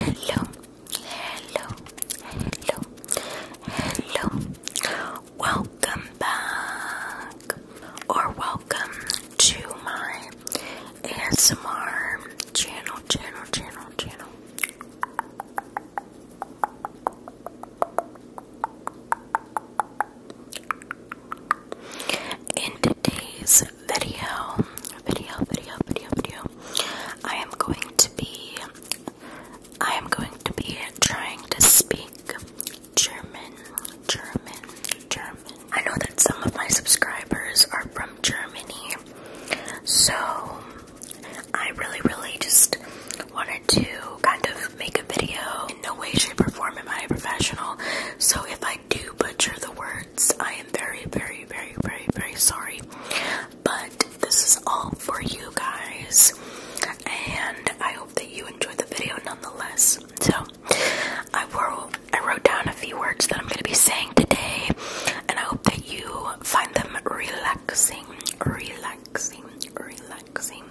Hello, hello, hello, hello. Welcome back, or welcome to my ASMR channel, channel, channel, channel. In today's video, video, video, video, video, I am going to be, I am going to be trying to speak German, German, German. I know that some of my subscribers are from Germany, so I really, really just wanted to kind of make a video. In no way, shape, or form am I a professional, so if I do butcher the words, I am very, very, very, very, very sorry. But this is all for you guys. And I hope that you enjoyed the video nonetheless. So I wrote I wrote down a few words that I'm gonna be saying today and I hope that you find them relaxing, relaxing, relaxing.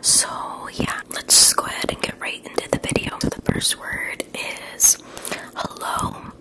So yeah, let's just go ahead and get right into the video. So the first word is hello.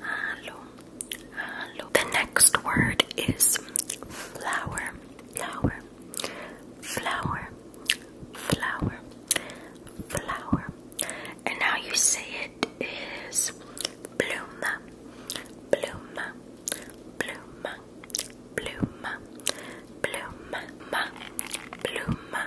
hello, hello. The next word is flower, flower, flower, flower, flower. And now you say it is bluma, bluma, bluma, bluma, bluma, bluma, bluma.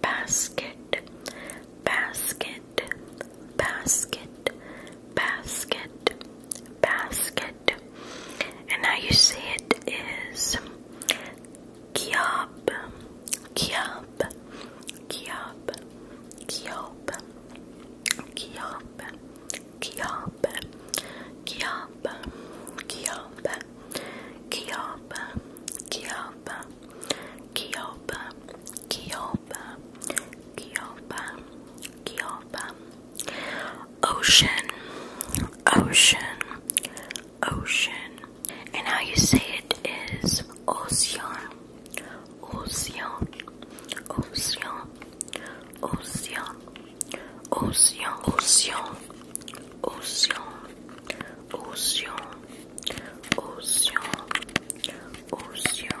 basket, basket, basket, basket, basket. And how you say it is kiob, kiob, kiob, kiob, kiob, kiob, kiob, kiob, Kioba, Kioba, Kioba, Kioba, Kioba, Kioba, Ocean, Ocean, Ocean, and how you say it is Ocean, Ocean, Ocean, Ocean, Ocean, Ocean, Océan, océan, océan, océan, océan,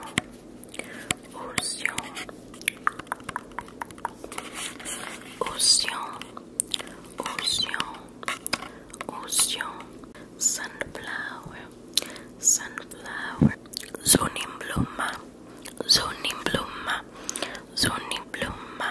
océan, océan, océan, sunflower, sunflower, zonibluma, zonibluma, zonibluma,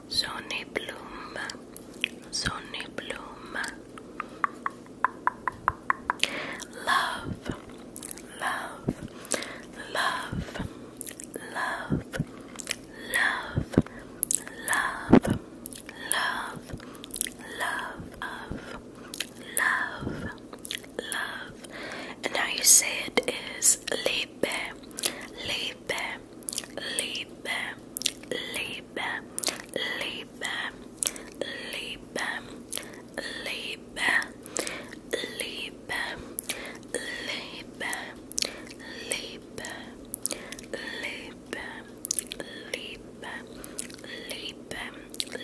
Sonny Bloom, Sonny Bloom. Love, love, love, love, love, love, love, love, love, love, love. And how you say it is liebe, liebe, liebe, liebe, liebe, liebe, liebe, liebe, liebe, liebe, liebe, liebe,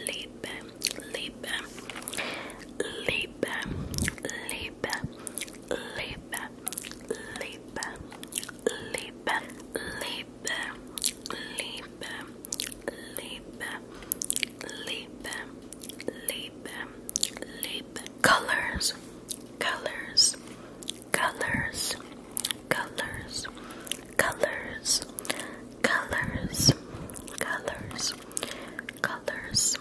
liebe, liebe, liebe, liebe, liebe, leap, leap, leap, leap, leap, leap, leap, leap, leap, leap, colors, colors, colors, colors, colors, colors, colors, colors,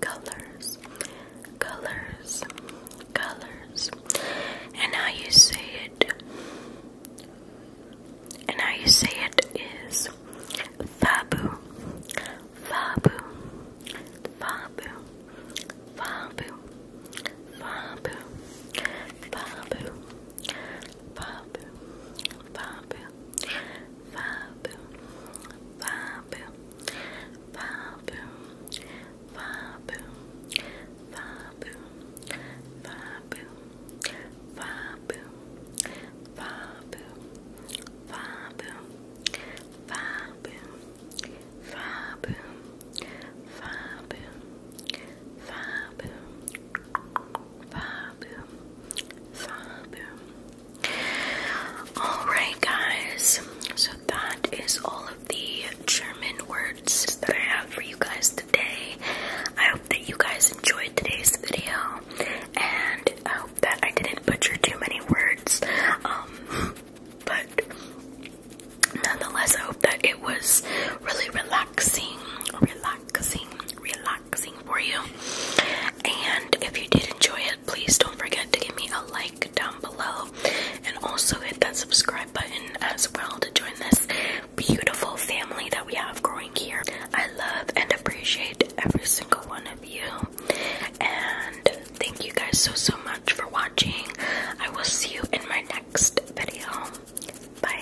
colors, colors, colors, and how you say it, and how you say it is fabu, fabu, fabu, fabu, fabu, fabu, fabu, fabu. Babu, Five Fab, Fab, Fab, Fab, Fab, Fab, Fab, Fab, Fab, Fab, Fab, Fab, Fab, Fab, Fab, Alright, guys, so that is all of the German words that I have for you guys today. I hope that you guys enjoyed today's video, and I hope that I didn't butcher too many words. Um, but nonetheless, I hope that it was really relaxing, relaxing, relaxing for you. And if you did enjoy it, please don't forget to give me a like down below and also hit that subscribe button as well to join this beautiful family that we have growing here. I love and appreciate every single one of you. And thank you guys so, so much for watching. I will see you in my next video. Bye.